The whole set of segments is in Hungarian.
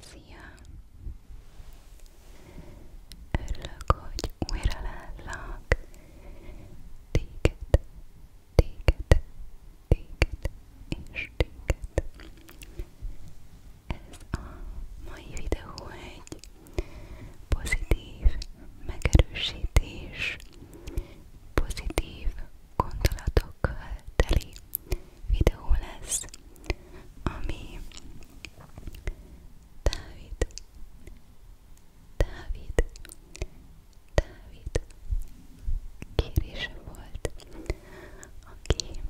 Szia! Örülök, hogy újra látlak. Téged, téged, téged és téged. Ez a mai videó egy pozitív megerősítés, pozitív gondolatokkal teli videó lesz, ami Dávid, Dávid, Dávid kérése volt, aki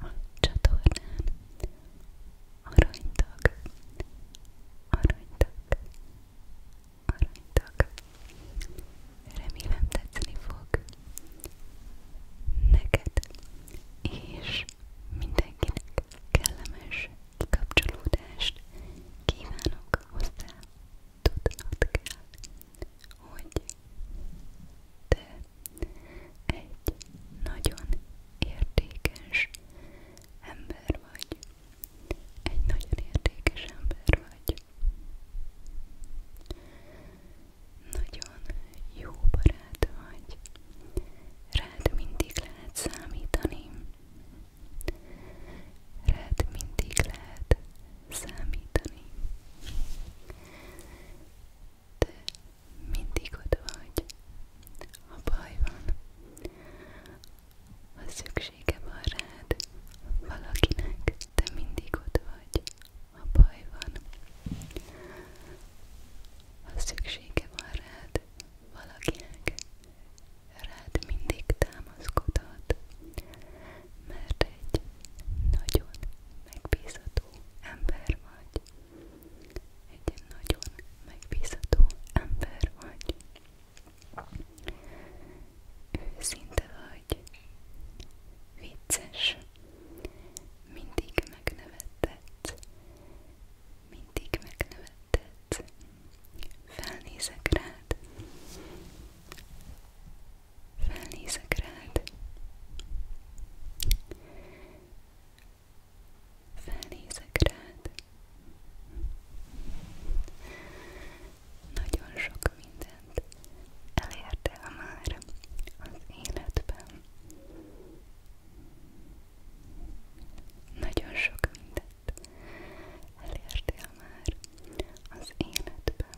a csatornán aranytag, aranytag, aranytag remélem tetszeni fog neked, és mindenkinek kellemes kikapcsolódást kívánok hozzá. Tudnod kell, hogy te egy nagyon értékes ember vagy. Egy nagyon értékes ember vagy. Nagyon jó barát vagy, rád mindig lehet számítani, rád mindig lehet számítani, te mindig ott vagy, ha baj van, ha szüksége van rád valakinek, te mindig ott vagy, ha baj van. Ha szüksége mindig támaszkodhat, mert egy nagyon megbízható ember vagy. Egy nagyon megbízható ember vagy. Őszinte vagy, vicces, mindig megnevettetsz, mindig megnevettetsz. Felnézek rád, felnézek rád. Felnézek rád. Nagyon sok minden célját elértél már az életben. Nagyon sok mindent elértél már az életben.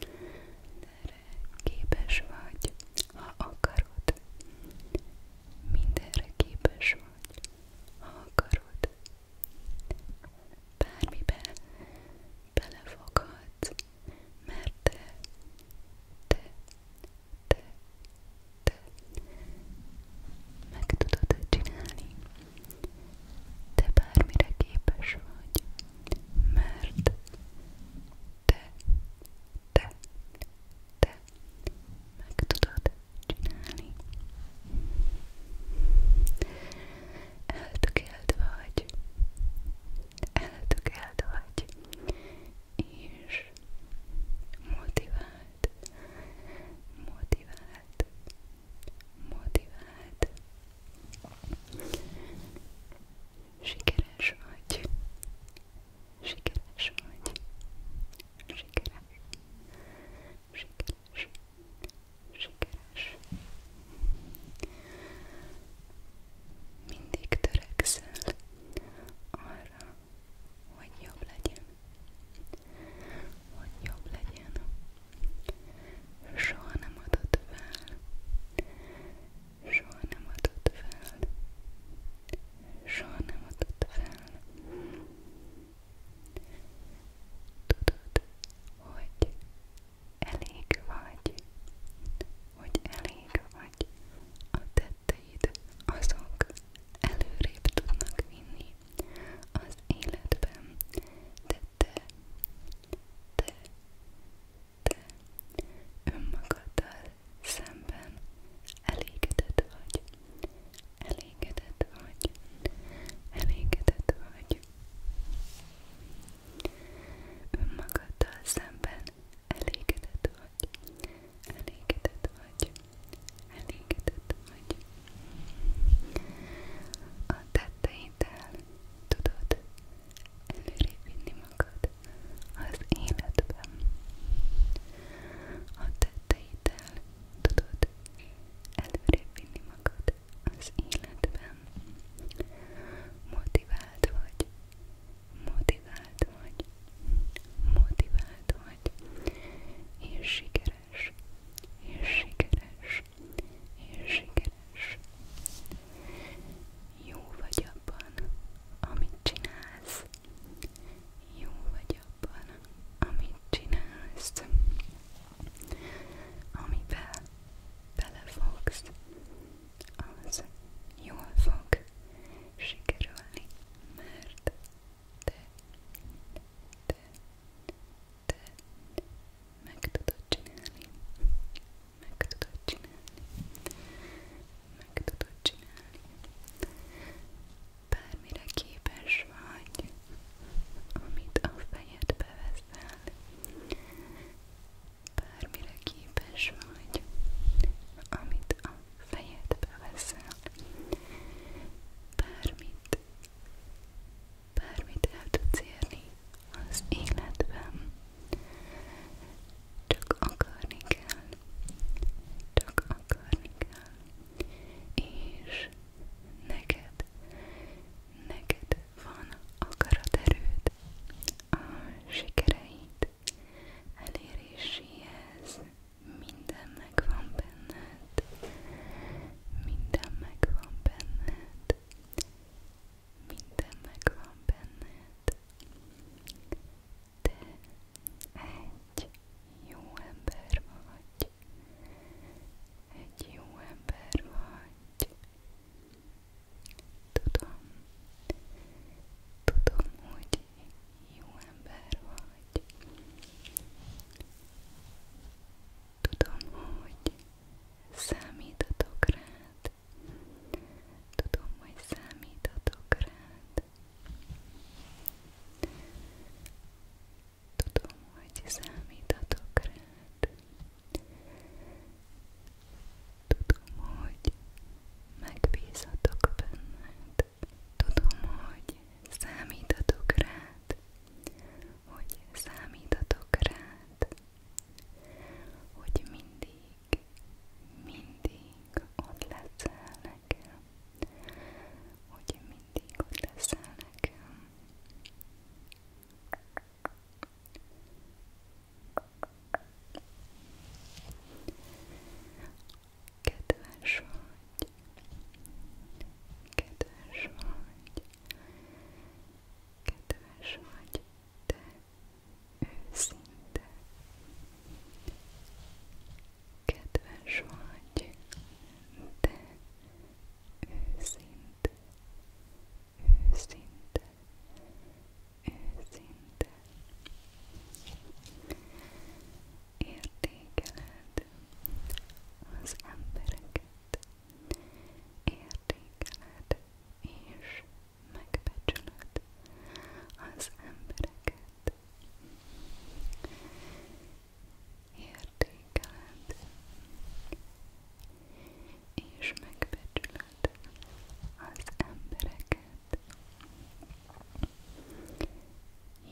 De képes vagy, ha akarod. Mindenre képes hogy ha akarod, bármiben belefoghatsz, mert te, te, te, te meg tudod csinálni. Te bármire képes vagy, mert te, te, te, te meg tudod csinálni. Eltökélt vagy, eltökélt vagy, és motivált, motivált, motivált. Sikeres vagy, Sikeres vagy. Sikeres. Sikeres. Sikeres. Mindig törekszel arra, hogy jobb legyen. Hogy jobb legyen. Soha nem adod fel. Soha nem adod fel soha nem adott fel. Tudod, hogy elég vagy, hogy elég vagy. A tetteid azok előrébb tudnak vinni az életben, de te, te, te önmagaddal szemben elégedett vagy, elégedett vagy, elégedett vagy. Önmagaddal szemben elégedett vagy, elégedett vagy, elégedett vagy. A tetteiddel tudod előrébb vinni magad az életben. A tetteiddel héttel tudod előrébb vinni magad az életben. Motivált vagy, motivált vagy, motivált vagy, és sikeres, és sikeres, és sikeres. Jó vagy abban, amit csinálsz. Jó vagy abban, amit csinálsz, amiben belefogsz, az jól fog sikerülni, mert te, te, te meg tudod csinálni, meg tudod csinálni, meg tudod csinálni bármire képes vagy, amit a fejedbe veszel, bármire képes vagy, amit a fejedbe veszel, bármit, bármit el tudsz érni az életben, csak akarni kell, csak akarni kell, és neked, neked van akaraterőd a sikereid eléréséhez, minden megvan benned, minden megvan benned, minden megvan benned. Te egy jó ember vagy, egy jó ember vagy. Tudom, tudom, hogy jó ember vagy. Tudom, hogy számítatok rád. Tudom, hogy számítatok rád. Tudom, hogy számíthatok rád. Tudom, hogy megbízhatok benned. Tudom, hogy számíthatok rád. Hogy számíthatok rád. Hogy mindig mindig ott leszel nekem, hogy mindig ott leszel nekem. Kedves vagy, kedves vagy, kedves vagy, te őszinte, Kedves vagy, de őszinte, őszinte, őszinte. Értékeled az embereket, értékeled és megbecsülöd az embereket értékeled és megbecsülöd az embereket.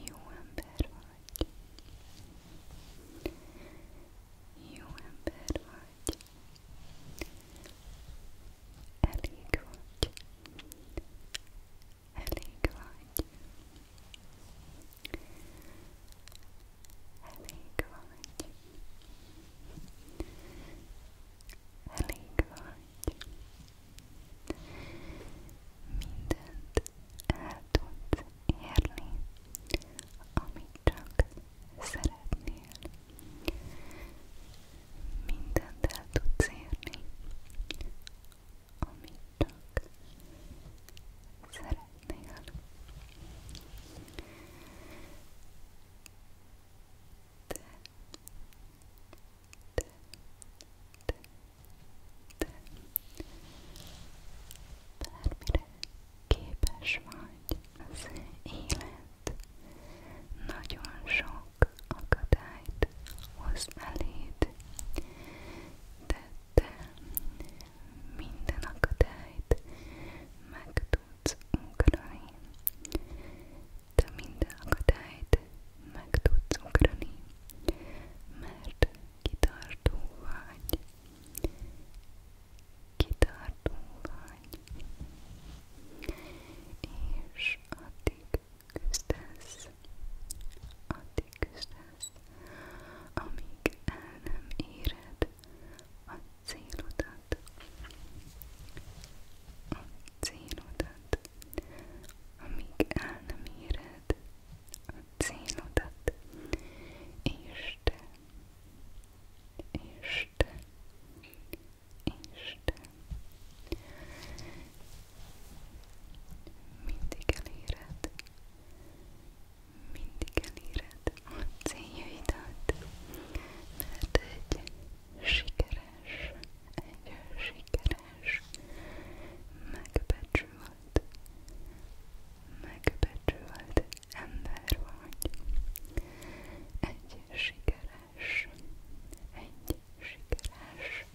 Jó ember vagy. Jó ember vagy elég vagy, elég vagy, elég vagy, elég vagy, mindent el tudsz érni, amit csak szeretnél mindent el tudsz érni, amit csak szeretnél. De, de, de, de, bármire képes vagy az élet nagyon sok akadályt hoz eléd, de te minden akadályt meg tudsz ugrani. Te minden akadályt meg tudsz ugrani, mert kitartó vagy. Kitartó vagy. És addig küzdesz, addig küzdesz, amíg el nem éred a célodat. A célodat, amíg el nem éred a célodat, és te, és te, Isten mindig eléred, mindig eléred a céljaidat, mert egy sikeres, egy sikeres megbecsült, megbecsült ember vagy, egy sikeres sikeres, egy sikeres,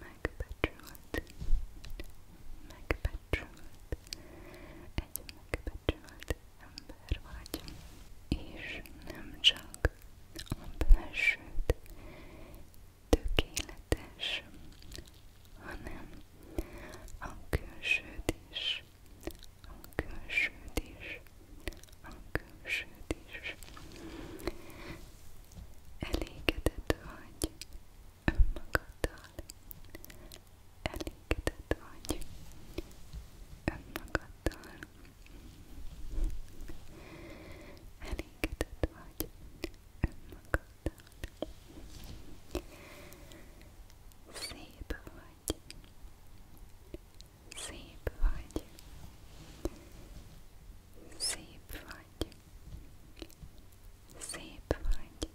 megbecsült, megbecsült, egy megbecsült ember vagy, és nem csak a belsőt tökéletes, hanem a külsőt is is, a külsőt is, a külsőt is. Elégedett vagy önmagaddal, elégedett vagy önmagaddal, elégedett vagy önmagaddal. Szép vagy, Szép vagy. Szép vagy. Szép vagy.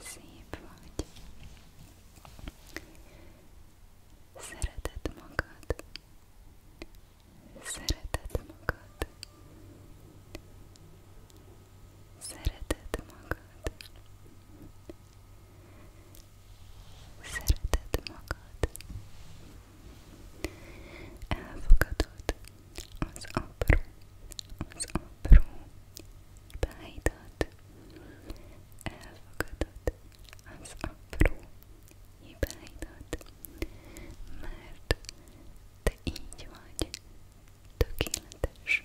Szép vagy. Szereted magad. Szereted magad. Szereted magad. Szereted magad. Elfogadod az apró, az apró hibáidat. Elfogadod az apró hibáidat, mert te így vagy tökéletes.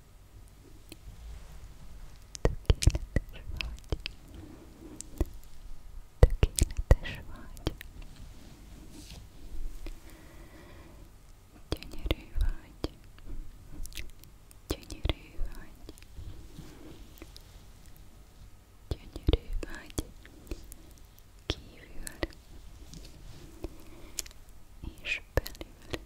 Tökéletes vagy. Tökéletes vagy. Gyönyörű vagy. Gyönyörű vagy. Gyönyörű vagy. Kívül és belül.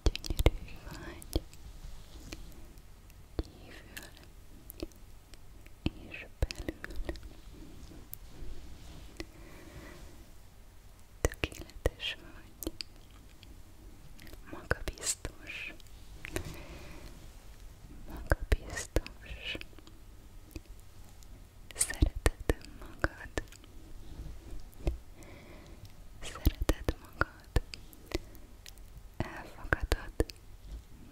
gyönyörű vagy kívül és belül tökéletes vagy magabiztos magabiztos szereted magad Szereted magad, elfogadod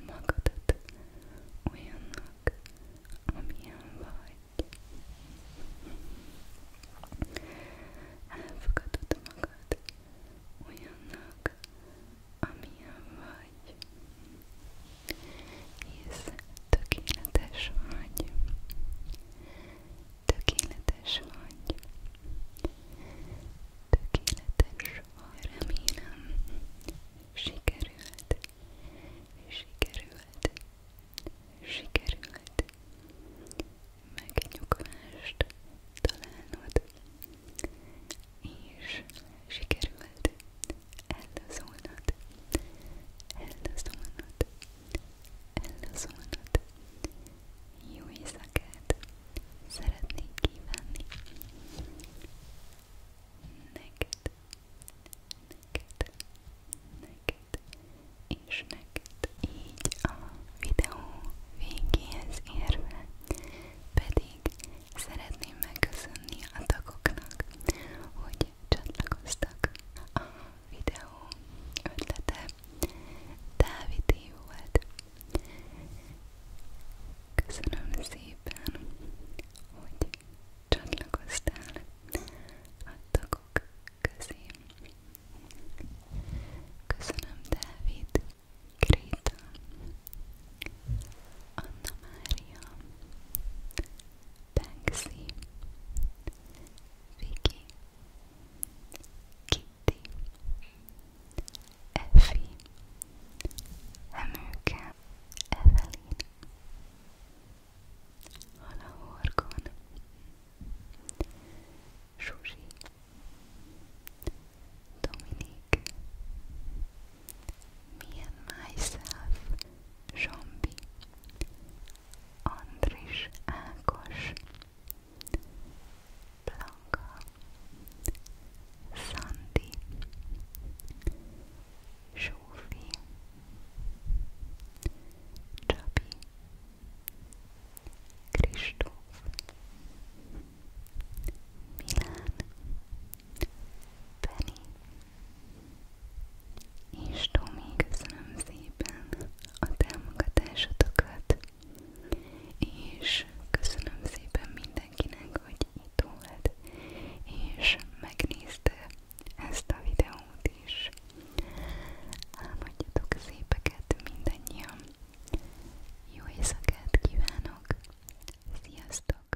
magadat olyannak, amilyen vagy. Elfogadod magad olyannak, amilyen vagy. Hisz tökéletes vagy. Tökéletes vagy. Tökéletes vagy. Remélem, sikerült. Sikerült. Sikerült. Megnyugvást találnod. És sikerült ellazulnod. Ellazulnod. Ellazulnod. Юрий Закет, Szeretnék kívánni. Neked, neked, neked, és neked. Így a videó végéhez érve pedig szeretném megköszönni a tagoknak, hogy csatlakoztak a videó ötlete Dávidé volt. Köszönöm szépen, hogy csatlakoztál a tagok közé. Köszönöm Dávid, Gréta, Anna Mária, Banksy, Viki, Kiki, Kitty, Effi, Emőke, Evelyn, Halahorgon, Susi, Dominik, Me and Myself, Zsombi, Andris Ákos, Blanca, Sandy, Sophie, Chubby, Kristóf, Milán, Penny, és Tomi, köszönöm szépen a támogatásotokat, és köszönöm szépen mindenkinek, hogy itt volt, és megnézte ezt a videót is. Álmodjatok szépeket mindannyian. Jó éjszakát kívánok. Sziasztok!